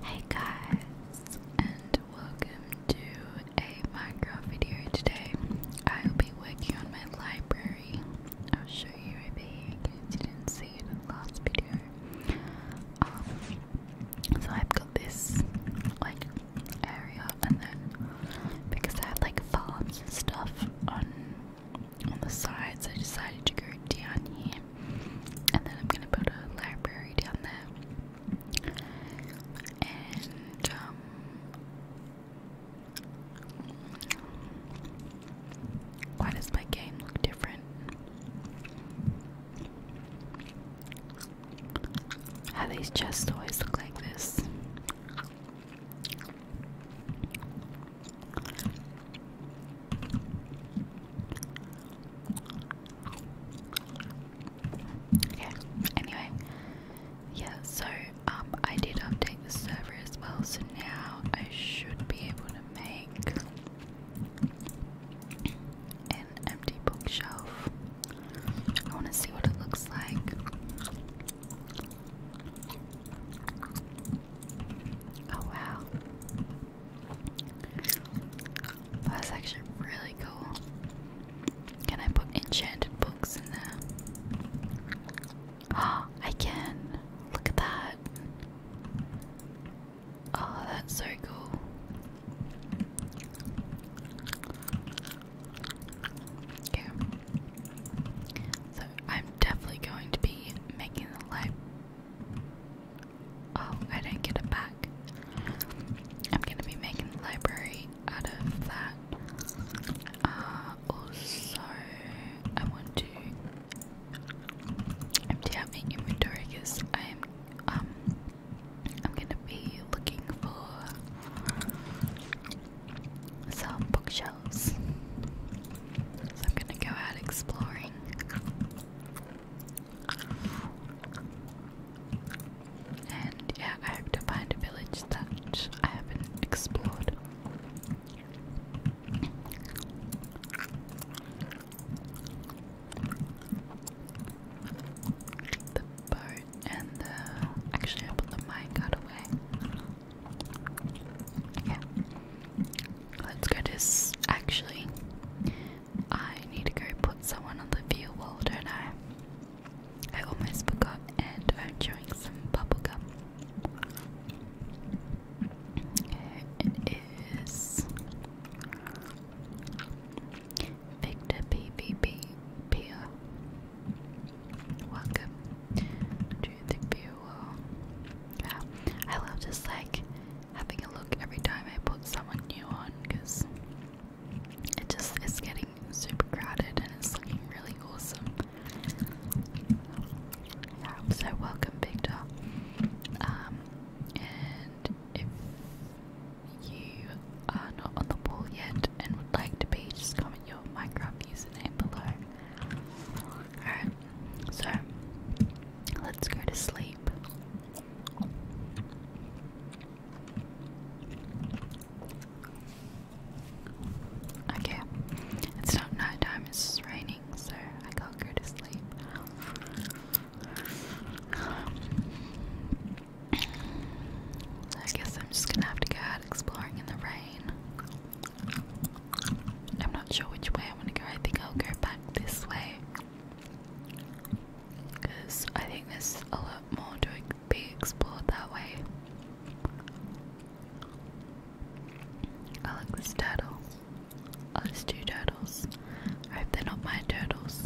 Hey guys, and welcome to a Minecraft video today. I will be working on my library. I'll show you over here in you didn't see in the last video. Um, so I've got this like area, and then because I have like farms and stuff on on the sides, I decided to go down here and then I'm gonna build a library down there. And um, why does my game look different? How these chests always look like this. Okay, anyway, yeah, so um, I did update the server as well, so now I should be able to make an empty bookshelf. I want to see what it looks like. Oh wow. That's actually really cool. Can I put enchanted books in there? Oh, I can. Look at that. Oh, that's so cool. Okay. So I'm definitely going to be making the library Oh, I didn't get it back. I'm gonna be making the library out of that. Uh, also, I want to empty out my inventory because I am um I'm gonna be looking for some bookshelves. So I'm gonna go out exploring. And yeah, I hope to find a village that I haven't explored. The boat and Actually, I put the minecart away. Yeah. Let's go to. S actually, I need to go put someone on the view wall, don't I? I almost forgot, and I'm chewing some bubblegum. It is Victor PVP Pier. Welcome to the view wall. I love just like having a look every time I put someone new on because it just is getting super crowded and it's looking really awesome. so welcome, Victor. Um, and if you are not on the wall yet and would like to be, just comment your Minecraft username below. Alright, so let's go to sleep. Okay, it's not night it's raining, so I can't to sleep. I guess I'm just gonna have to go out exploring in the rain. I'm not sure which way I want to go, I think I'll go back this way because I think there's a lot more to be explored that way. I like this turtle. Oh, there's two turtles. I hope they're not my turtles.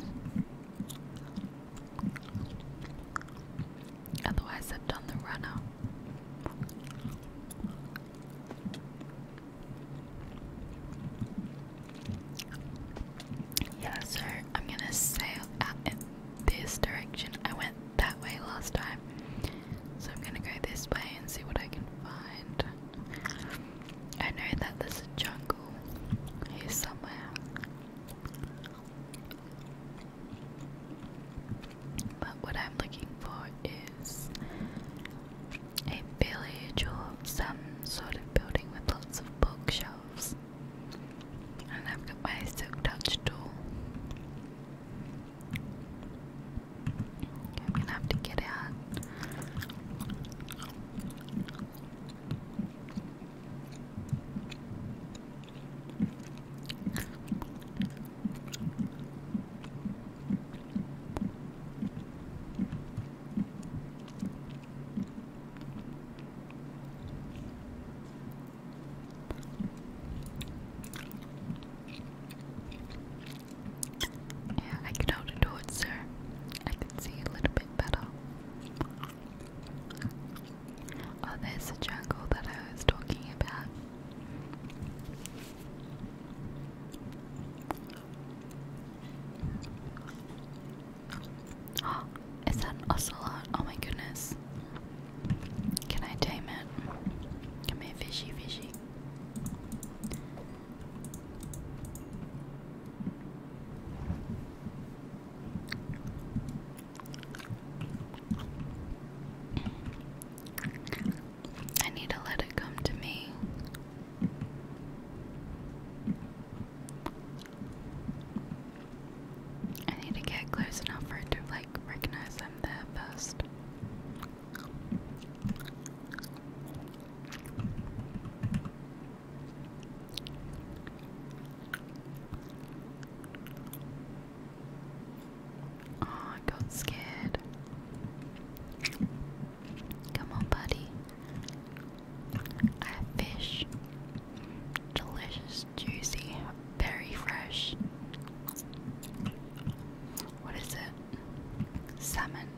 Otherwise, I've done the runner. Yeah, so I'm gonna sail out in this direction. I went that way last time, so I'm gonna go this way and see what I can find. I know that there's a jungle here somewhere, but what I'm looking for is a village or some sort of building with lots of bookshelves. And I've got my silk I'm gonna have to get out. Yeah, I can already do it, I can see a little bit better. Oh, there's the jungle that I was talking about. Oh, is that an Oh my goodness. Can I tame it? Come here, fishy, fishy. I need to let it come to me. I need to get close enough for it to like recognize them there first. Oh, I got scared. Come on, buddy. A fish. Delicious, juicy, very fresh. What is it? Salmon.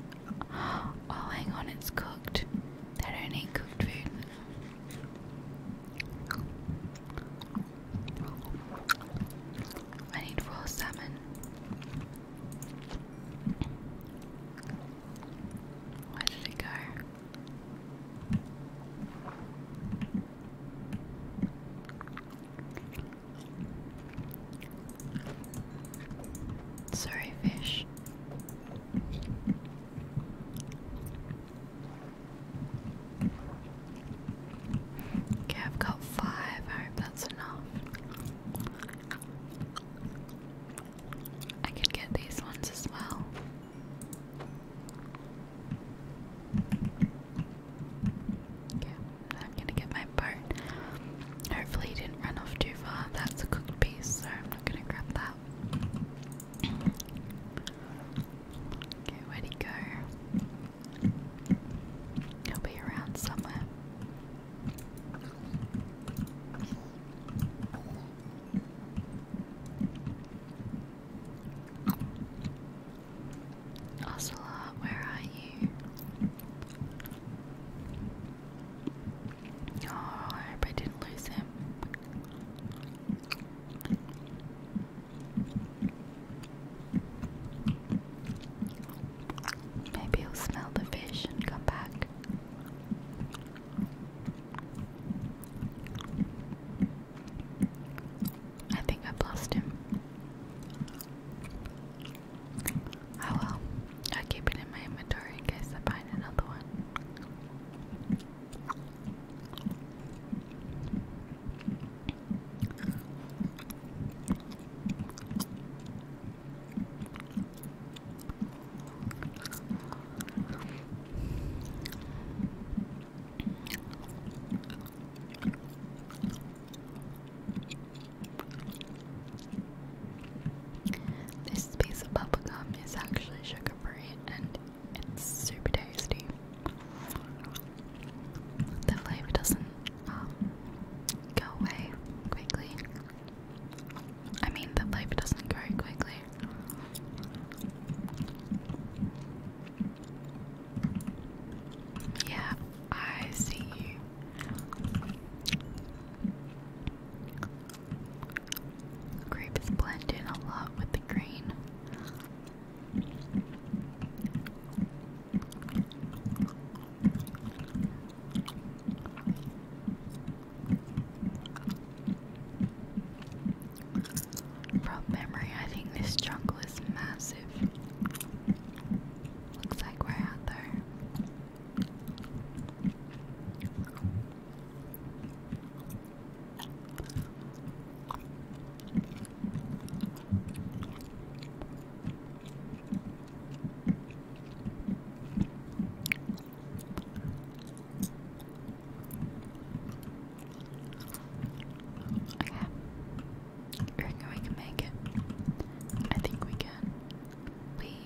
Oh, hang on, it's cooked. They don't eat cooked food. I need raw salmon. Where did it go? Sorry, fish. Okay, I've got five. I hope that's enough. I could get these ones as well. Okay, I'm gonna get my part. Hopefully, he didn't run off too far. That's a cooked piece, so I'm not gonna grab that. Okay, where'd he go? He'll be around somewhere. Ocelot, where are you? Oh, I hope I didn't lose him. Maybe he'll smell the fish and come back. I think i lost him. Oh well, I keep it in my inventory in case I find another one. This piece of bubblegum is actually sugar free and it's super tasty. The flavor doesn't um, go away quickly. I mean, that life doesn't grow quickly. Yeah, I see you. Grapes blend in a lot with the green. From memory, I think this jungle is massive. Looks like we're out there. Okay. We reckon we can make it. I think we can. We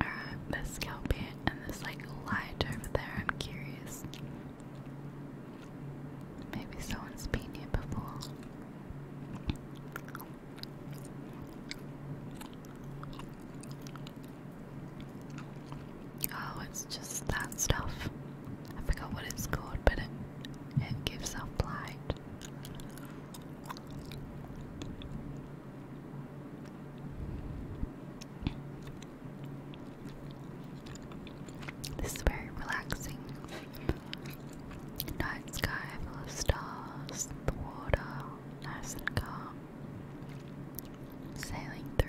Alright, there's scalp and there's like light over there, I'm curious. Maybe someone's been here before. Oh, it's just that stuff. I forgot what it's called, but it it gives off light. This is very relaxing. Night sky full of stars, the water nice and calm, sailing through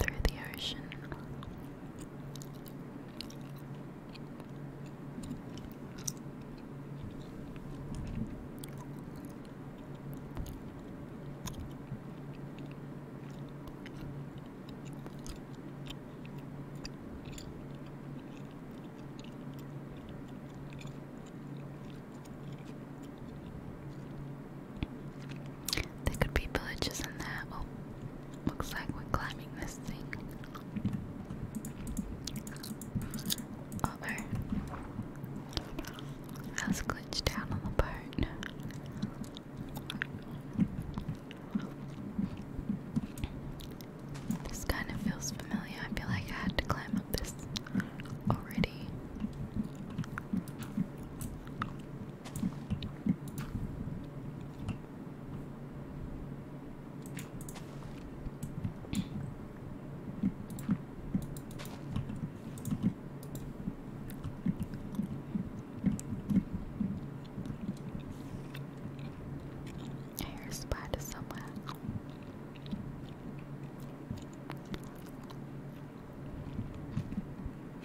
through the ocean. There could be villages in there. Oh, looks like we're climbing this thing. Uh oh. I was glitched down on the boat. This kind of feels familiar. I feel like I had to climb up this already. A hair somewhere.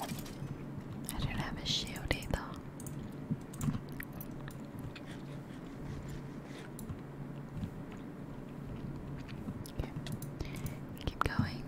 I don't have a shield either. Keep going.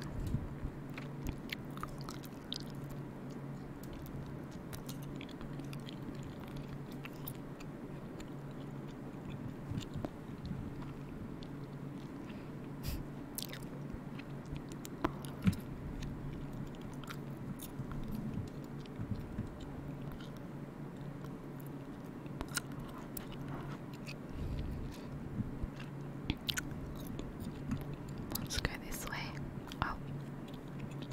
Let's go this way. Oh,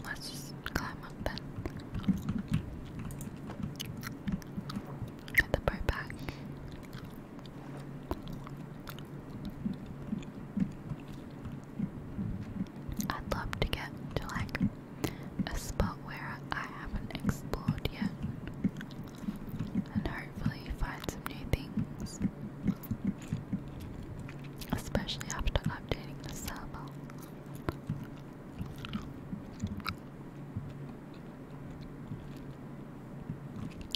let's climb up then. Get the boat back. I'd love to get to like a spot where I haven't explored yet and hopefully find some new things. Especially after updating the server.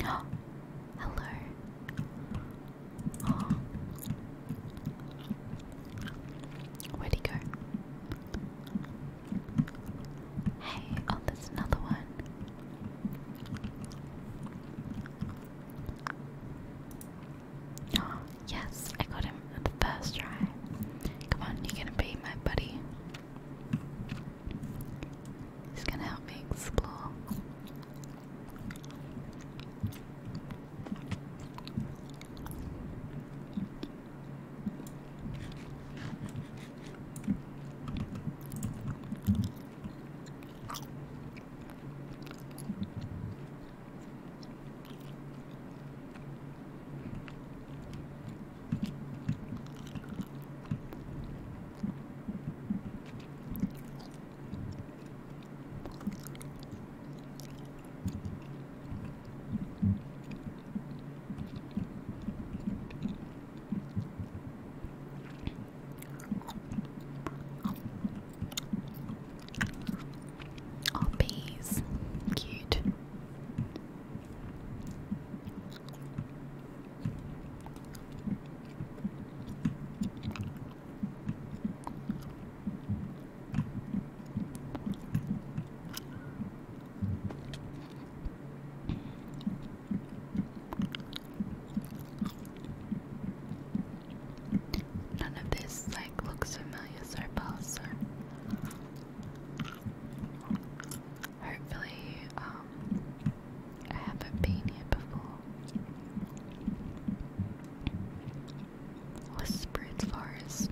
Hello, Oh. Where'd he go? Hey, oh, there's another one. Oh, yes, I got him at the first try. Come on, you're gonna be my buddy. It's gonna help me explore. Oh, bees. Cute. None of this like looks familiar so far, so hopefully um I haven't been here before. Whispered forest.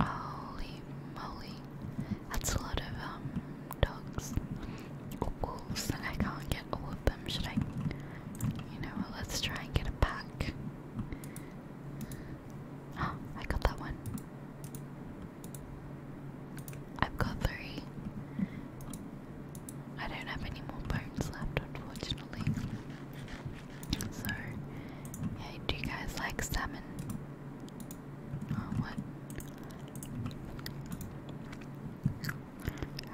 Holy moly. That's a lot of um dogs. Or wolves. I can't get all of them. Should I you know let's try and get a pack. Oh, I got that one. I've got three. I don't have any more bones left, unfortunately. So, do you guys like salmon? Oh, what?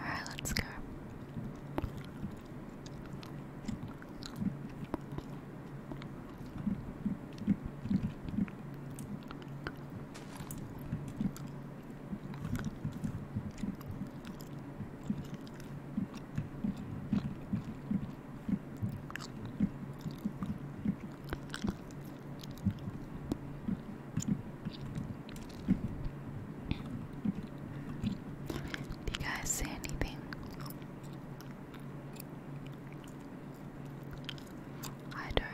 Alright, let's go. Do you guys say anything? I don't.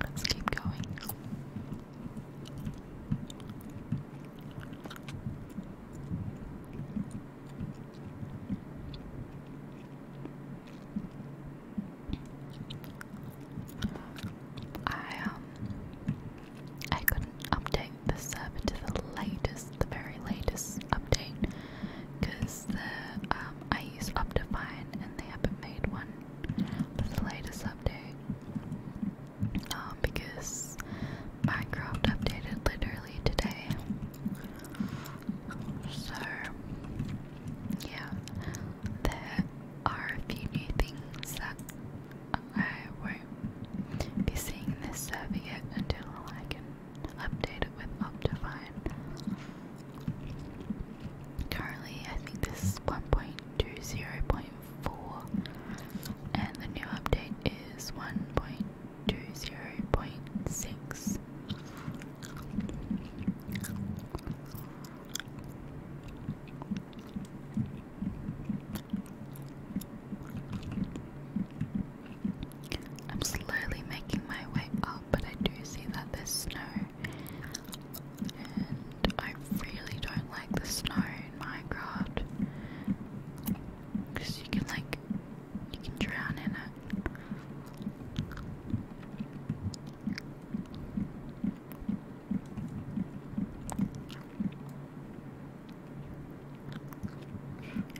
Let's keep going. I um I couldn't update the server to the latest, the very latest update, because the um I use Optifine and they haven't made one with the latest update. Uh, because Minecraft updated literally today. So, yeah, there are a few new things that I won't be seeing this server yet until I can update with Optifine. Currently, I think this is 1.20.4, and the new update is 1.20.6. I'm slowly making my way up, but I do see that there's snow, and I really don't like the snow in Minecraft. Cause you can like, you can drown in it.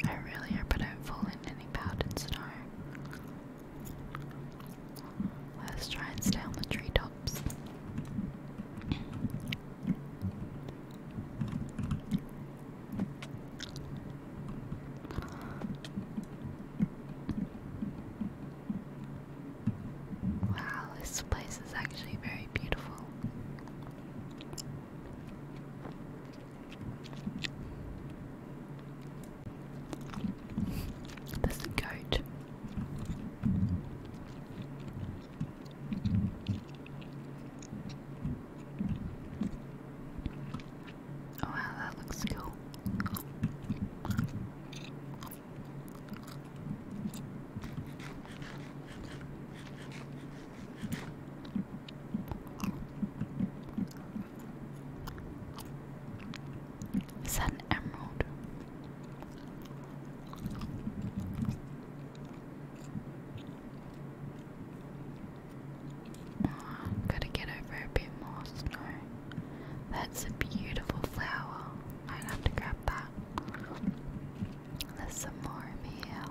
I really hope not fall any powdered snow. Let's try and stay on the treetops. Wow, this place is actually very beautiful. There's a goat. Oh, wow, that looks cool. Is that an emerald? gotta get over a bit more snow. That's a beautiful flower. I'd have to grab that. There's some more here.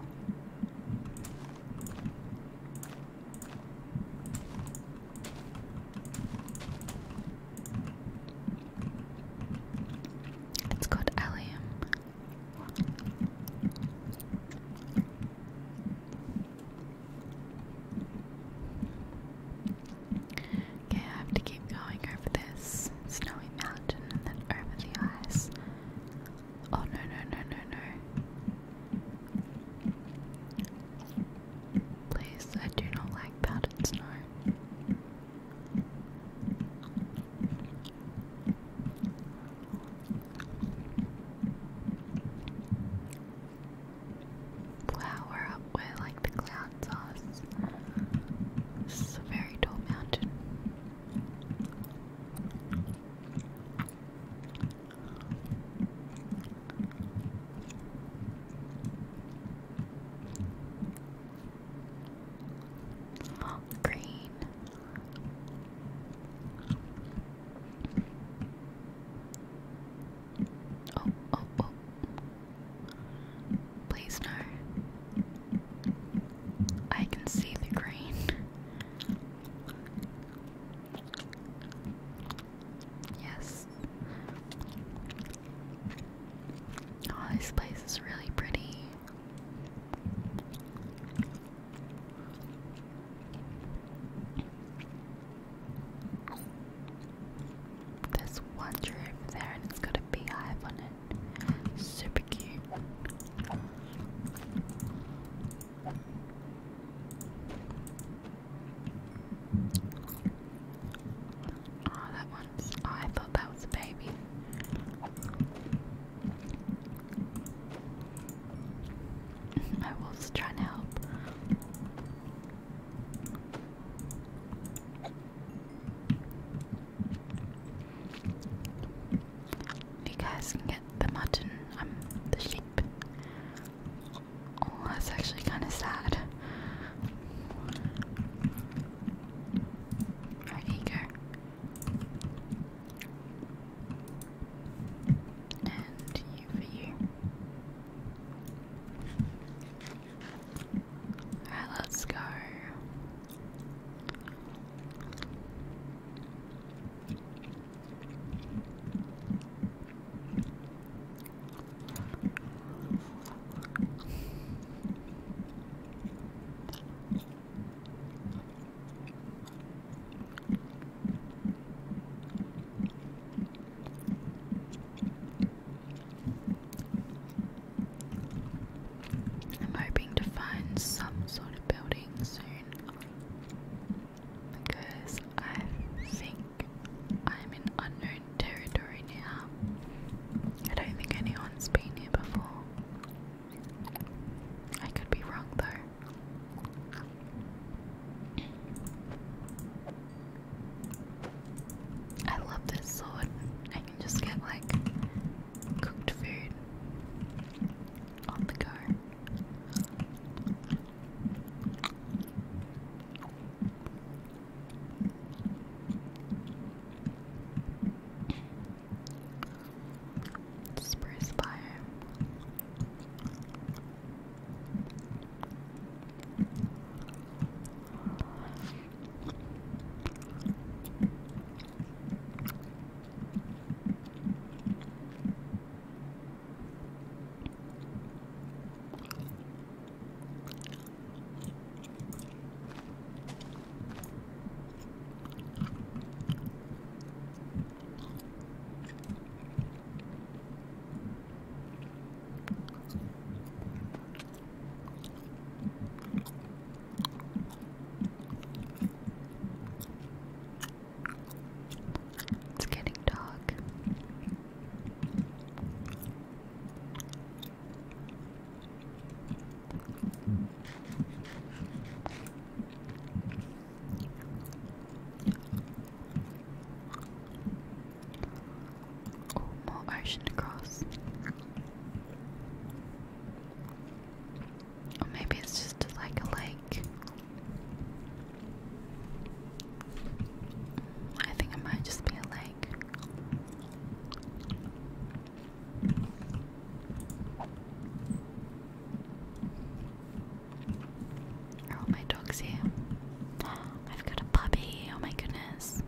It's called Allium. Okay, I have to keep going over this snowy mountain and then over the ice. Oh no no no no no. Please, I do not like powdered snow. Flower up with like the clown sauce. This is a very tall mountain. Green. Oh, oh, oh. Please no. I can see the green. Yes. Oh, this place is really pretty. There's one tree over there and it's got a beehive on it. Super cute. Oh, that one's. I thought that was a baby. I was trying to help. You guys can get the mutton, I'm um, the sheep. Oh, that's actually kind of sad. Alright, here and for you. Alright, let's go. I'm hoping to find some sort of building soon because I think I'm in unknown territory now. I don't think anyone's been here before. I could be wrong though. I love this sword. I can just get like cooked food on the go. Spruce fire. It's getting dark more ocean to cross. Or maybe it's just like a lake. I think it might just be a lake. Are oh, my dogs here? I've got a puppy, oh my goodness.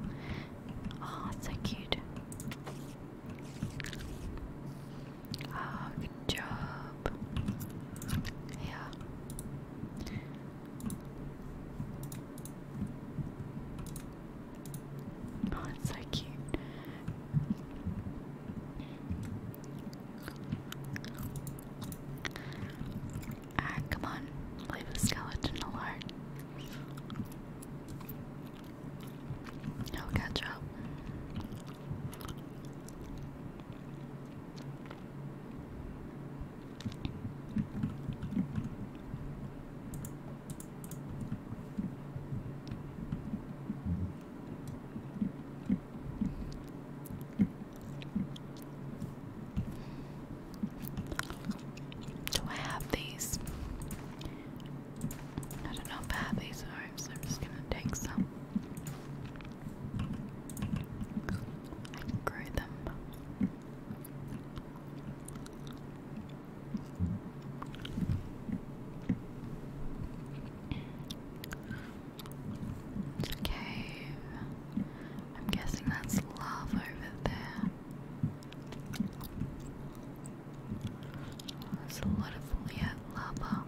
Oh, so cute. Oh, good job. Yeah. Oh, it's so cute. Alright, come on. Leave the skeleton alone. I'll oh, catch up. Do I have these? I don't know if I have these or I'm just gonna take some. grow them. It's I'm guessing that's lava over there. There's a lot of lava.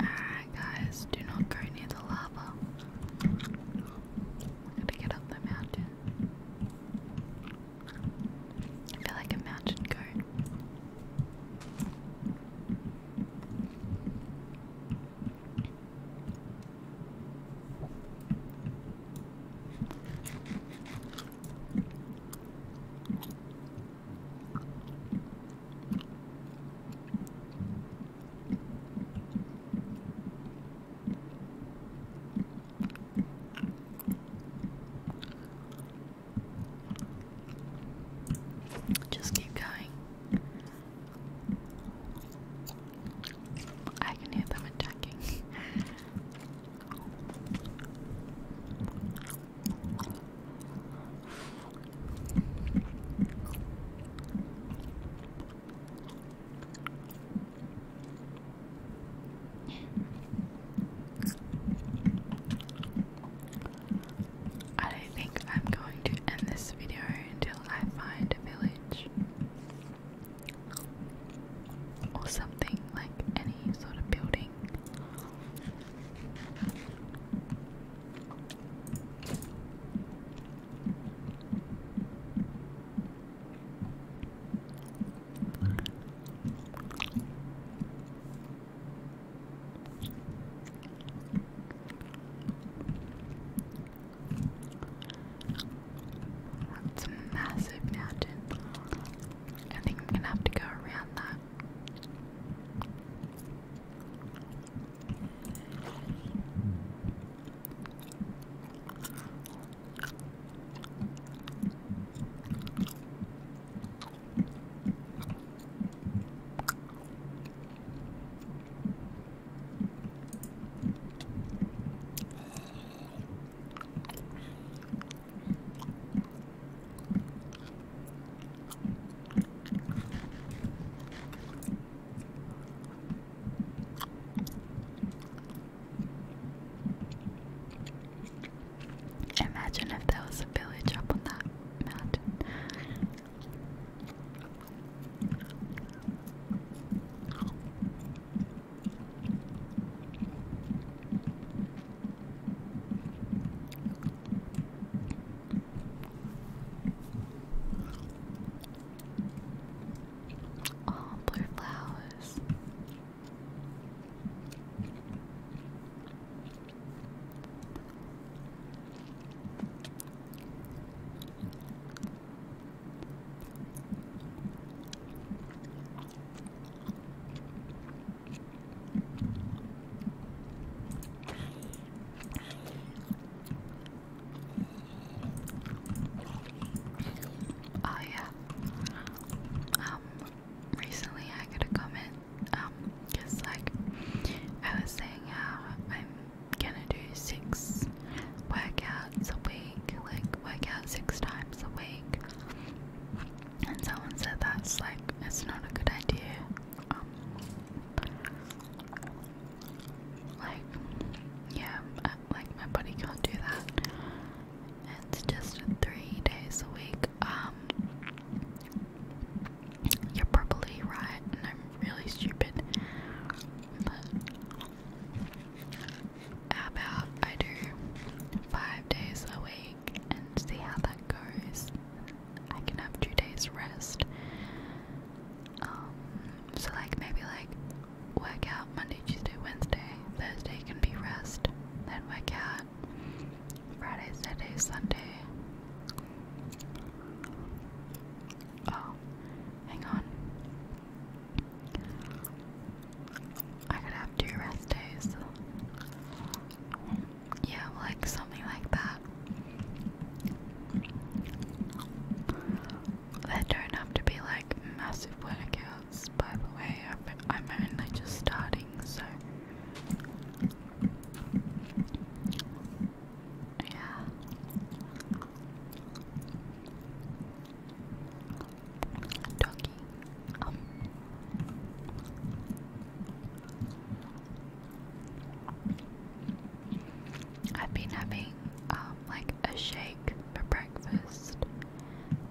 Alright, guys, do not go near the lava. I'm gonna get up the mountain. I feel like a mountain goat. Just keep going. I can hear them attacking. I don't think I'm going to end this video until I find a village or something like any sort of building. That's a massive mountain. I think I'm gonna have to go around that. Imagine if there was a village up on that mountain. Oh, blue flowers. Oh yeah. Um recently I got a comment, um, just like I was saying how I'm gonna do six workouts a week, like work out six times a week. And someone said that's like, it's not a good idea. Um, like, yeah, uh, like my body can't do that. It's just three days a week. Um, you're probably right, and I'm really stupid about I do five days a week and see how that goes. I can have two days rest. Um, so like maybe like work out Monday, Tuesday, Wednesday, Thursday can be rest, then work out Friday, Saturday, Sunday. Oh, hang on. I could have two rest days. Yeah, like something like that. They don't have to be like massive workouts, by the way. I'm only just starting, so. Yeah. Doggy. Um, I've been having um, like a shake for breakfast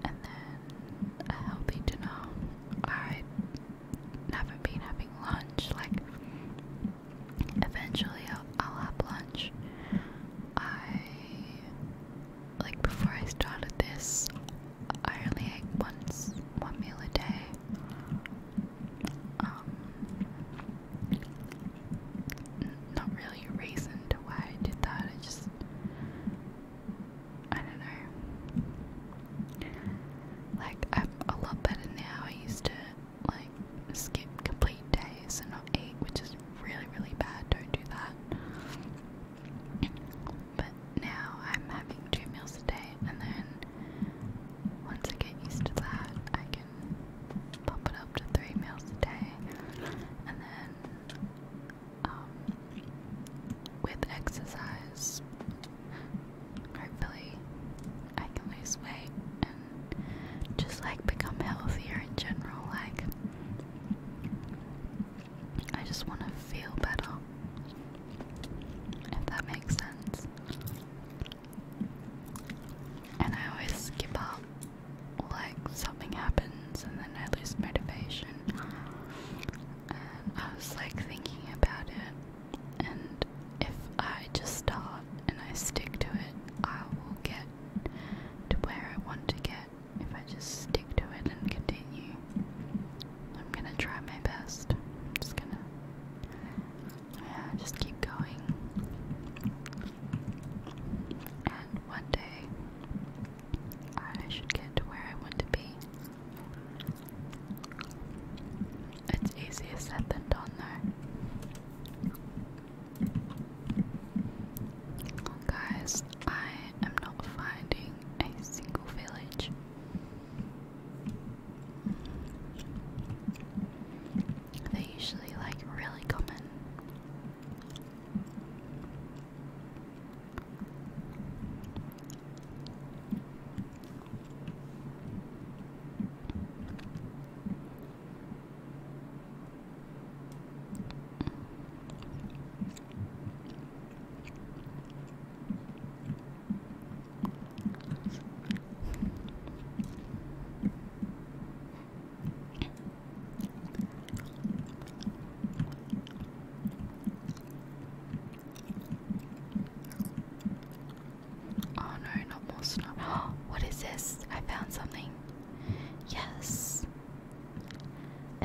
and then a healthy dinner. I haven't been having lunch. Like eventually will I'll have lunch. I like before I started this, I only ate once one meal a day. Um, not really a reason to why I did that. I just, I don't know. Like I'm a lot better now. I used to like skip complete days and not eat, which is really, really bad. Don't do that. But now I'm having two meals a day, and then once I get used to that, I can pump it up to three meals a day. And then, um, with exercise, hopefully, I can lose weight and just like become healthier in general. Like, I just want to feel better. If that makes sense. And I always skip up, like something happens and then I lose motivation. And I was like thinking about it, and if I just start and I stick to it, I will get to where I want to get if I just stick to it and continue, I'm gonna try my best. I'm just gonna, yeah, just keep going. And one day, I should get to where I want to be. It's easier said than done, though. Guys, I am not finding a single village. They're usually like really common. Oh no, not more snow. What is this? I found something. Yes.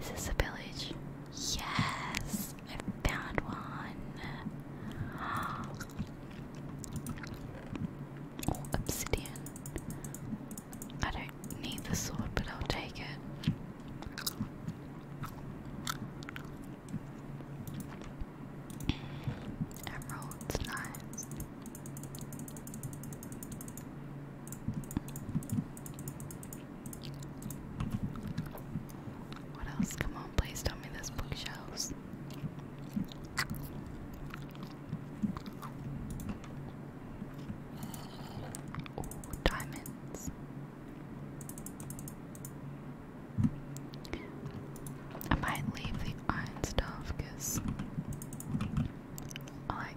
Is this a village? Yes! I found one! Oh, obsidian. I don't need the sword, but I'll take it. Emerald's nice. What else? Come on, please tell me this bookshelves. diamonds. I might leave the iron stuff because I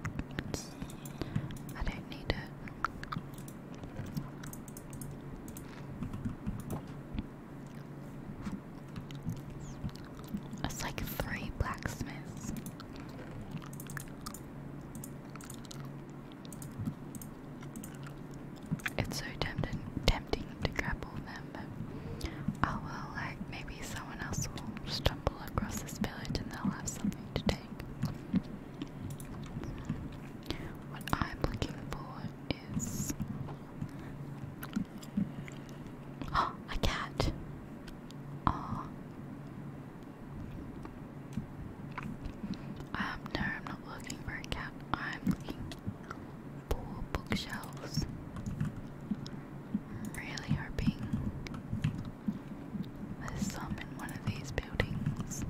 I don't need it. It's like three blacksmiths. It's so tempting, tempting to grapple them, oh well, like maybe maybe someone else will stumble across this village and they'll have something to take. What I'm looking for is. a cat! Oh. no, I'm not looking for a cat. I'm looking for bookshelves. really hoping there's some in one of these buildings,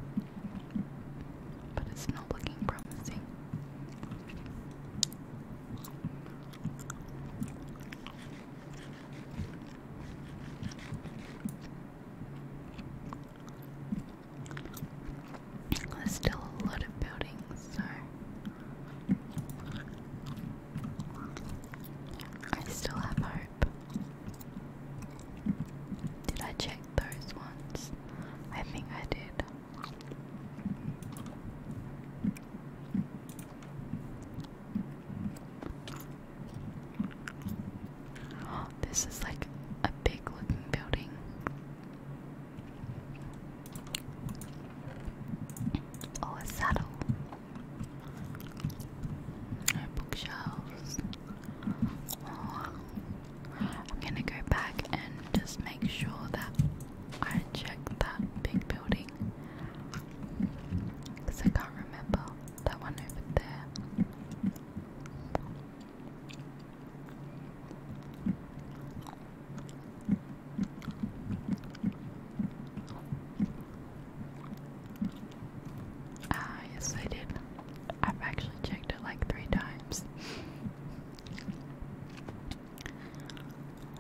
but it's not looking promising. There's still a lot of buildings, so I still have hope. Did I check those ones? I think I did. this is like a big looking building. Oh, a saddle bookshelves. I'm gonna go back and just make sure that I check that big building. Because I can't remember that one over there. Ah, yes, I did. I've actually checked it like three times.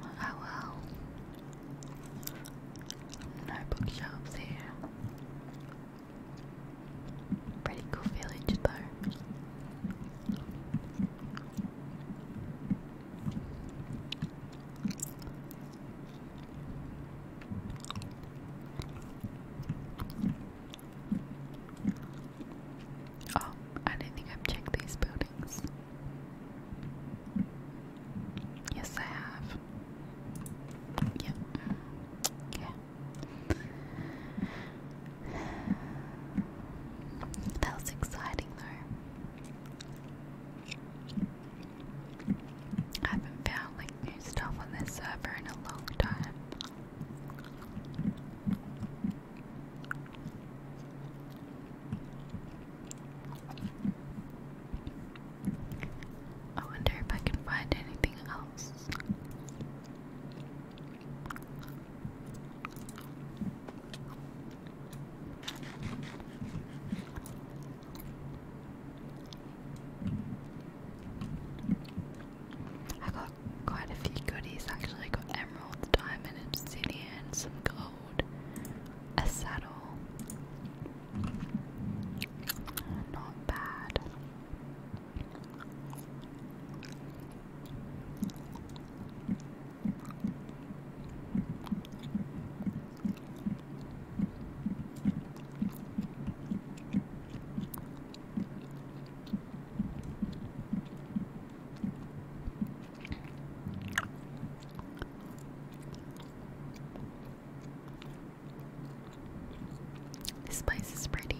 Oh well. No bookshops here. Pretty cool village though. Oh, I don't think I've checked these buildings. Yes, I have. Yep. Yeah. That was exciting, though. I haven't found like new stuff on this server in a long time. I wonder if I can find anything else. I got quite a few goodies actually. I got emerald, diamond, obsidian, some gold, a saddle. Not bad. This place is pretty.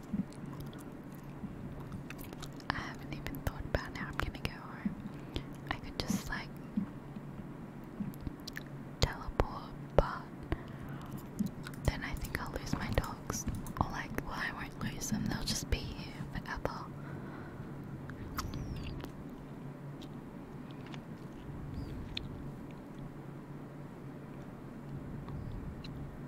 I haven't even thought about how I'm gonna go home. I could just like teleport, but then I think I'll lose my dogs. Or like, well, I won't lose them. They'll just be here forever.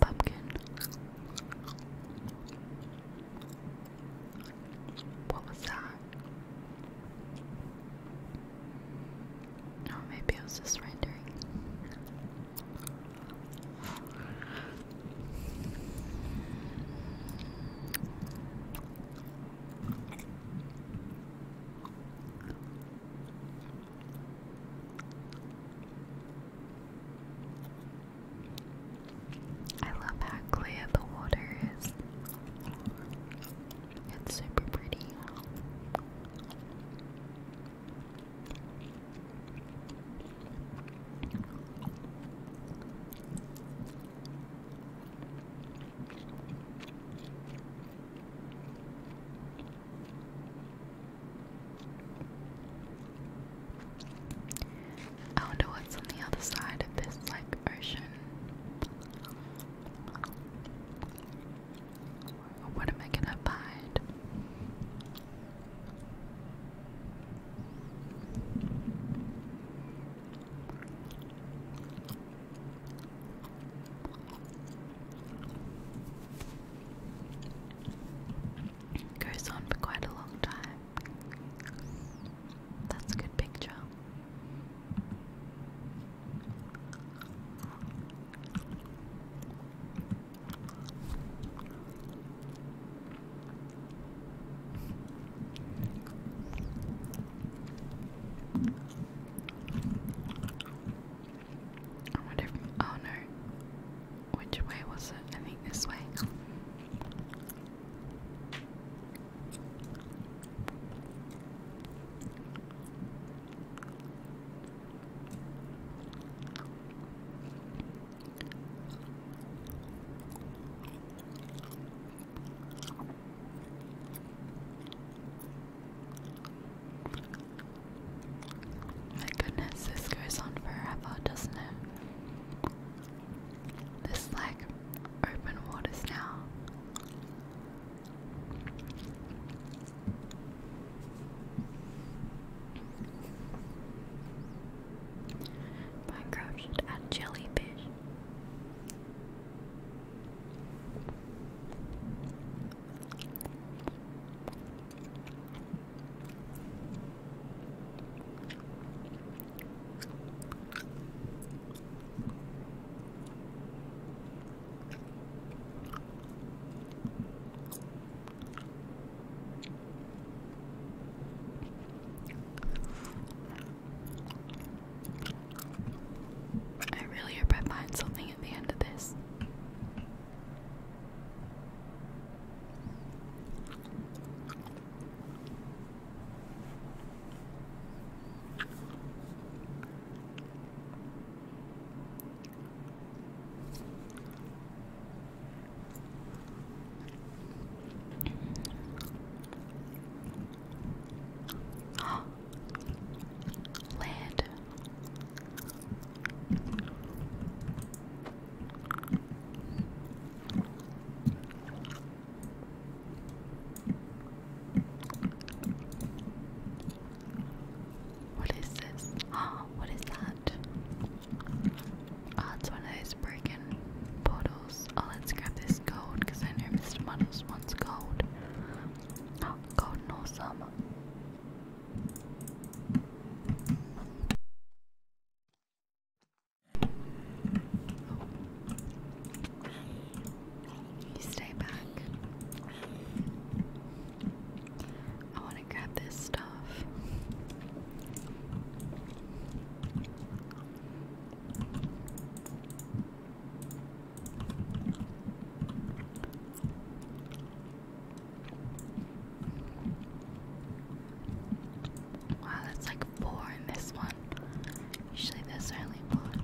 Pumpkin. What was that? Or maybe it was just rendering. I love how clear the water is. It's super pretty. I wonder what's on the other side of this, like, ocean. What am I gonna find? goes on for quite a long time. That's a good picture. I oh no, which way was it? I think this way. My goodness, this goes on forever, doesn't it? This, like, open waters now. Minecraft should add jellyfish. I really hope I find something at the end of this. Lead. What is this? Oh, what is that? Oh, it's one of those broken bottles. Oh, let's grab this gold because I know Mr. Muddles wants gold. Oh, golden summer. You stay back. I want to grab this stuff. Wow, that's like four in this one. Usually this only one.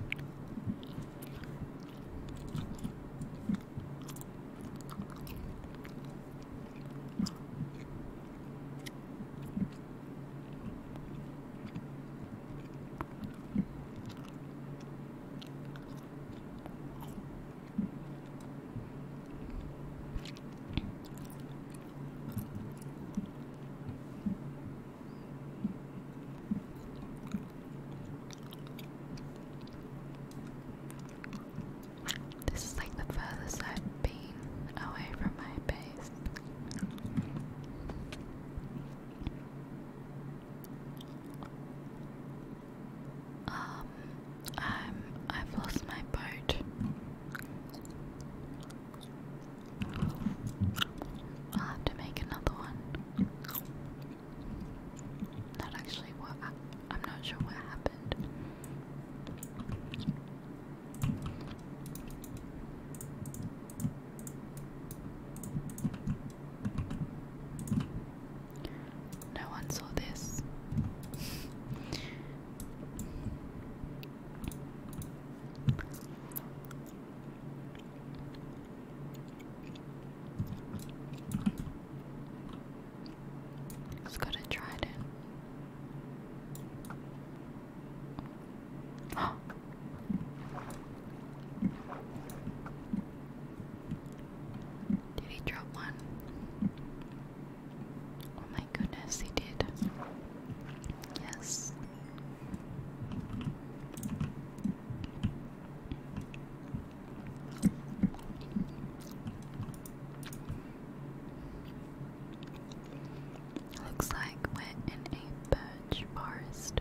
This is like the furthest I've been away from my base. Um, i I've lost my boat. I'll have to make another one. Not actually what I'm not sure what happened. No one saw this. It's got a trident. Did he drop one? Oh my goodness, he did. Yes. Looks like we're in a birch forest.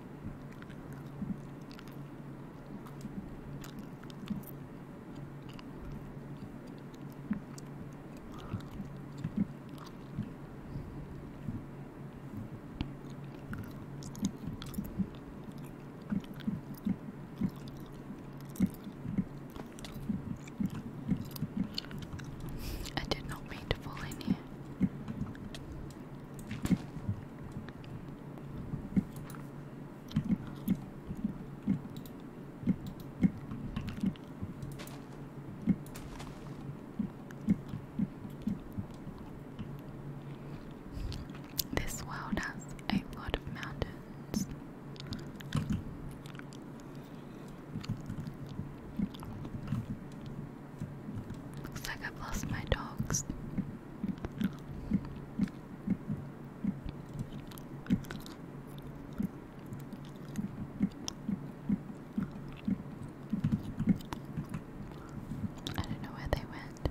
I did not mean to fall in here. This world has a lot of mountains. Looks like I've lost my dogs. I don't know where they went.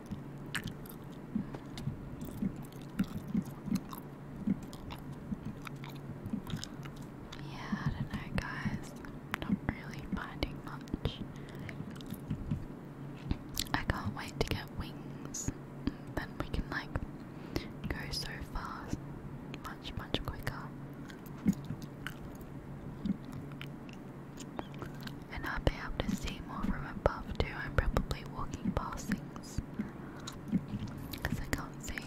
Yeah, I don't know, guys. not really finding much. I can't wait to get wings. Then we can, like, go so fast, much, much quicker. And I'll be able to see more from above too. I'm probably walking past things because I can't see.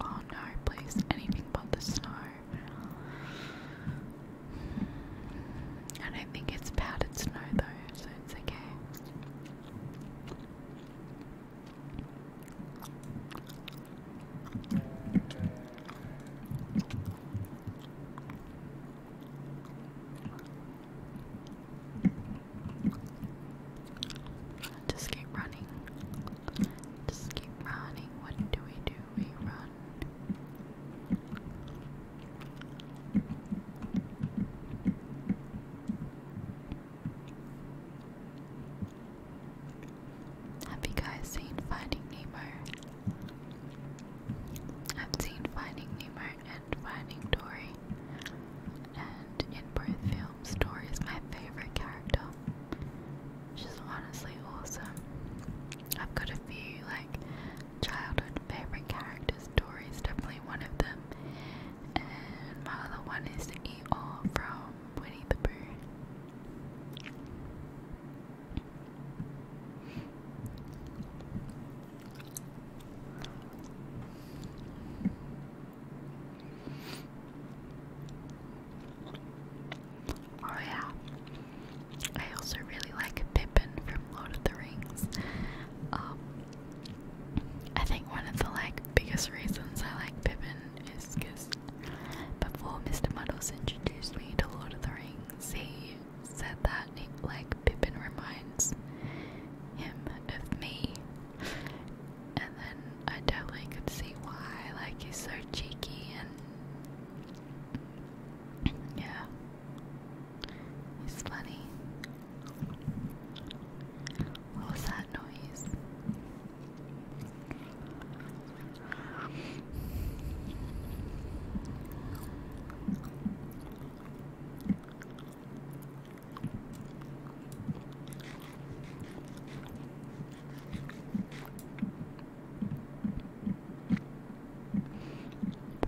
Oh no, please, anything but the snow. I think it's powdered snow though, so it's okay. Just keep running. Just keep running. What do we do? We run. Have you guys seen Finding Nemo? I've seen Finding Nemo and Finding Dory. And in both films, Dory is my favourite character. She's honestly awesome. I've got a few like childhood favourite characters. Dory's definitely one of them. And my other one is the E.O. from Winnie the Pooh. Oh yeah. I also really like Pippin from Lord of the Rings. Um, I think one of the like biggest reasons I like Pippin is because before Mr. Muddles introduced me to Lord of the Rings, he said that like Pippin reminds him of me, and then I totally could see why. Like he's so cheeky and yeah, he's funny. What was that noise?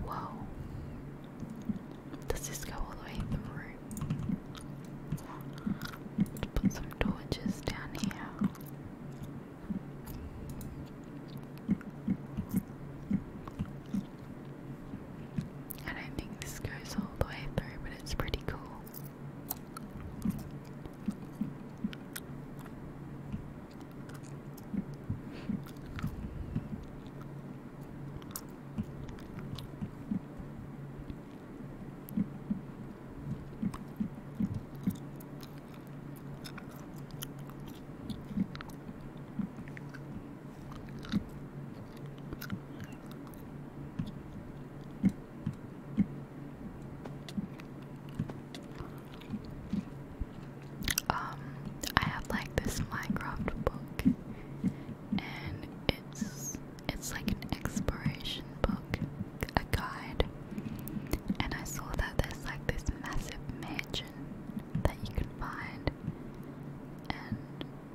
Whoa. Does this go all the way through? Let's put some torches down here. I don't think this goes all the way through, but it's pretty cool. Um, I have like this Minecraft book, and it's it's like an exploration book, a guide. And I saw that there's like this massive mansion that you can find, and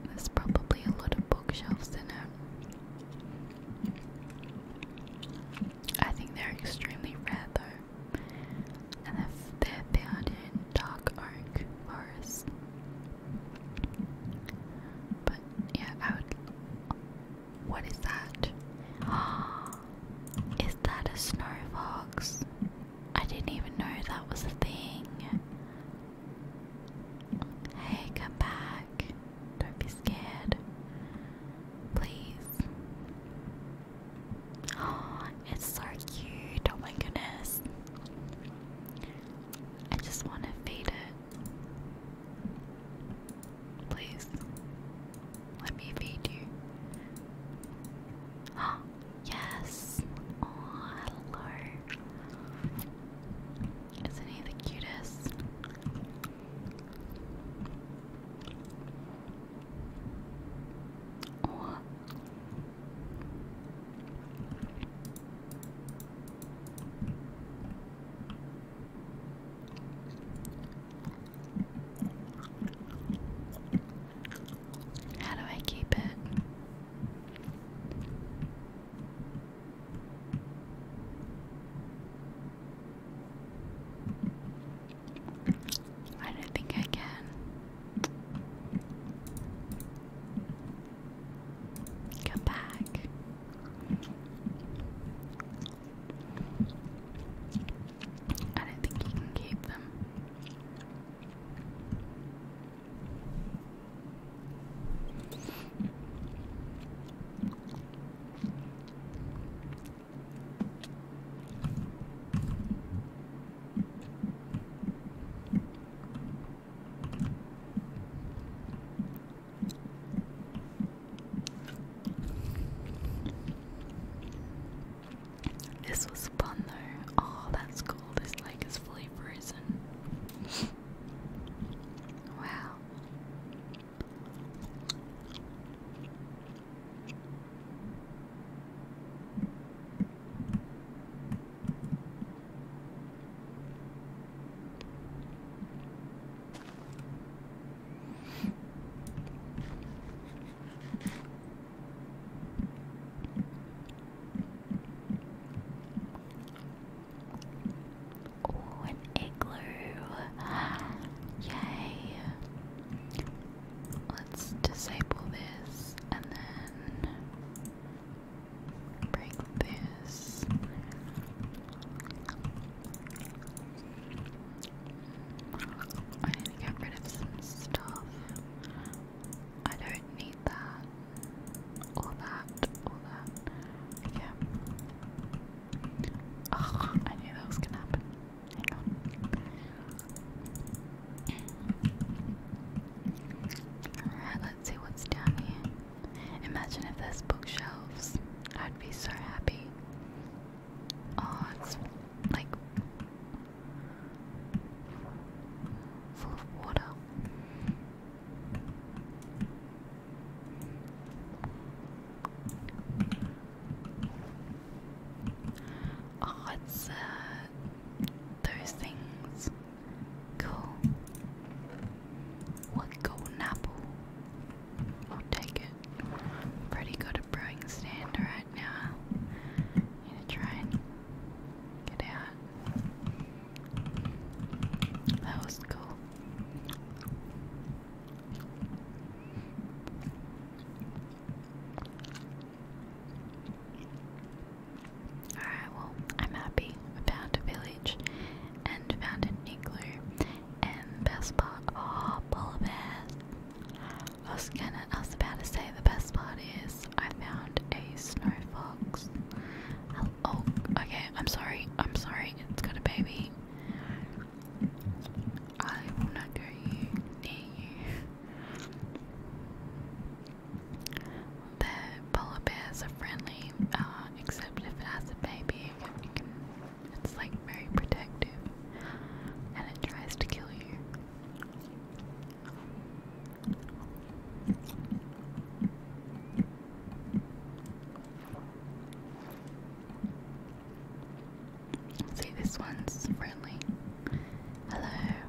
there's probably a lot of bookshelves in it. I think they're extremely rare though, and they're found in dark oak forests. But yeah, I would. What is that? is that a snow fox? I didn't even know that was a thing. Hey, come back. Don't be scared. Please. Oh, it's so cute. Oh my goodness. I just want to feed it. Please, let me feed you. Oh, yes! Oh, hello. Isn't he the cutest? Oh. How do I keep it? I don't think I can. Come back. I don't think you can keep them. This was fun though. Oh, that's cool. This lake is fully frozen. wow. Oh, an igloo. Yay. Let's disable this and then break this. I need to get rid of some stuff. I don't need that. All that. All that. Yeah. Oh, I knew that was gonna happen. Hang on. Alright, see what's down here. Imagine if there's bookshelves. I'd be so happy. Oh, it's like full of water. Oh, it's uh, those things. Go. What golden apple? I'll take it. Pretty good at brewing stand right now. Need to try and get out. That was cool. Alright, well, I'm happy about village village and founded nuclear and best part oh Bulbath. I was gonna I was about to say the best part is I found a snow fox. oh okay, I'm sorry, I'm sorry, it's got a baby. I will not go near you that polar bears are friendly, uh, except if it has a baby, it's like very protective and it tries to kill you. See, this one's friendly. Hello.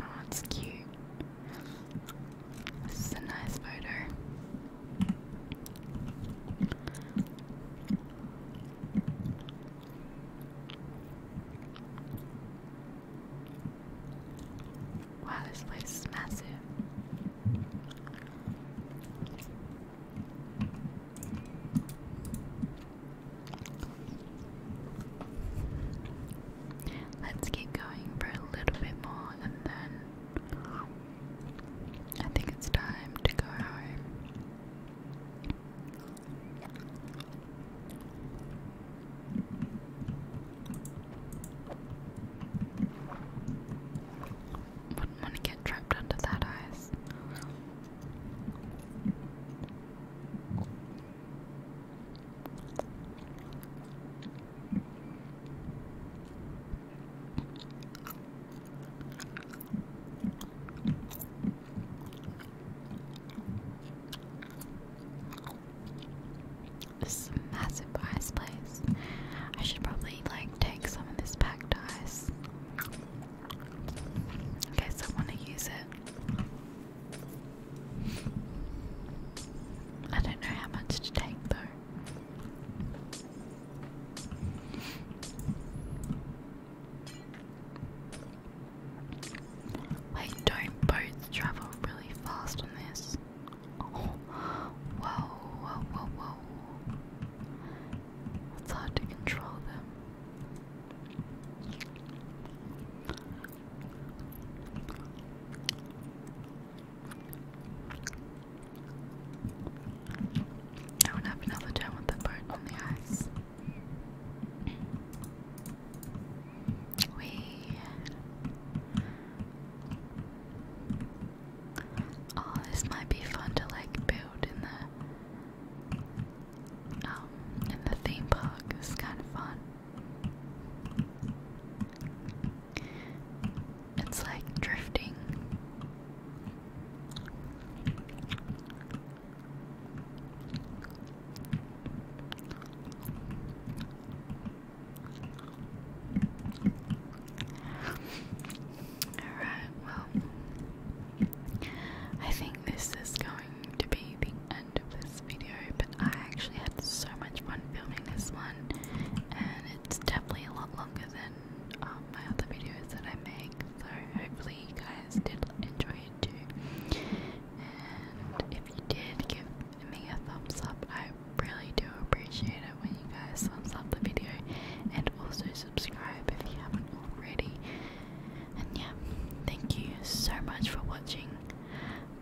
Oh, it's cute. This is a nice photo. Wow, this place is massive. Let's keep going for a little bit more and then I think it's time to go home. Wouldn't want to get trapped under that ice. This is a massive ice place. I should probably like take some of this packed ice. Okay, so I want to use it. I don't know how much to take though. Wait, don't boats travel really fast on this? Oh, whoa, whoa, whoa, whoa. It's hard to control them. I would have another time with the part on the ice. We Oh, this might be fun to like build in the um in the theme park. It's kind of fun. It's like drifting. Alright, well, I think this is going to be the end of this video, but I actually had so much fun filming this one, and it's definitely a lot longer than um, my other videos that I make, so hopefully you guys did enjoy it too. And if you did, give me a thumbs up. I really do appreciate it when you guys thumbs up the video, and also subscribe if you haven't already. And yeah, thank you so much for watching.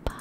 Bye.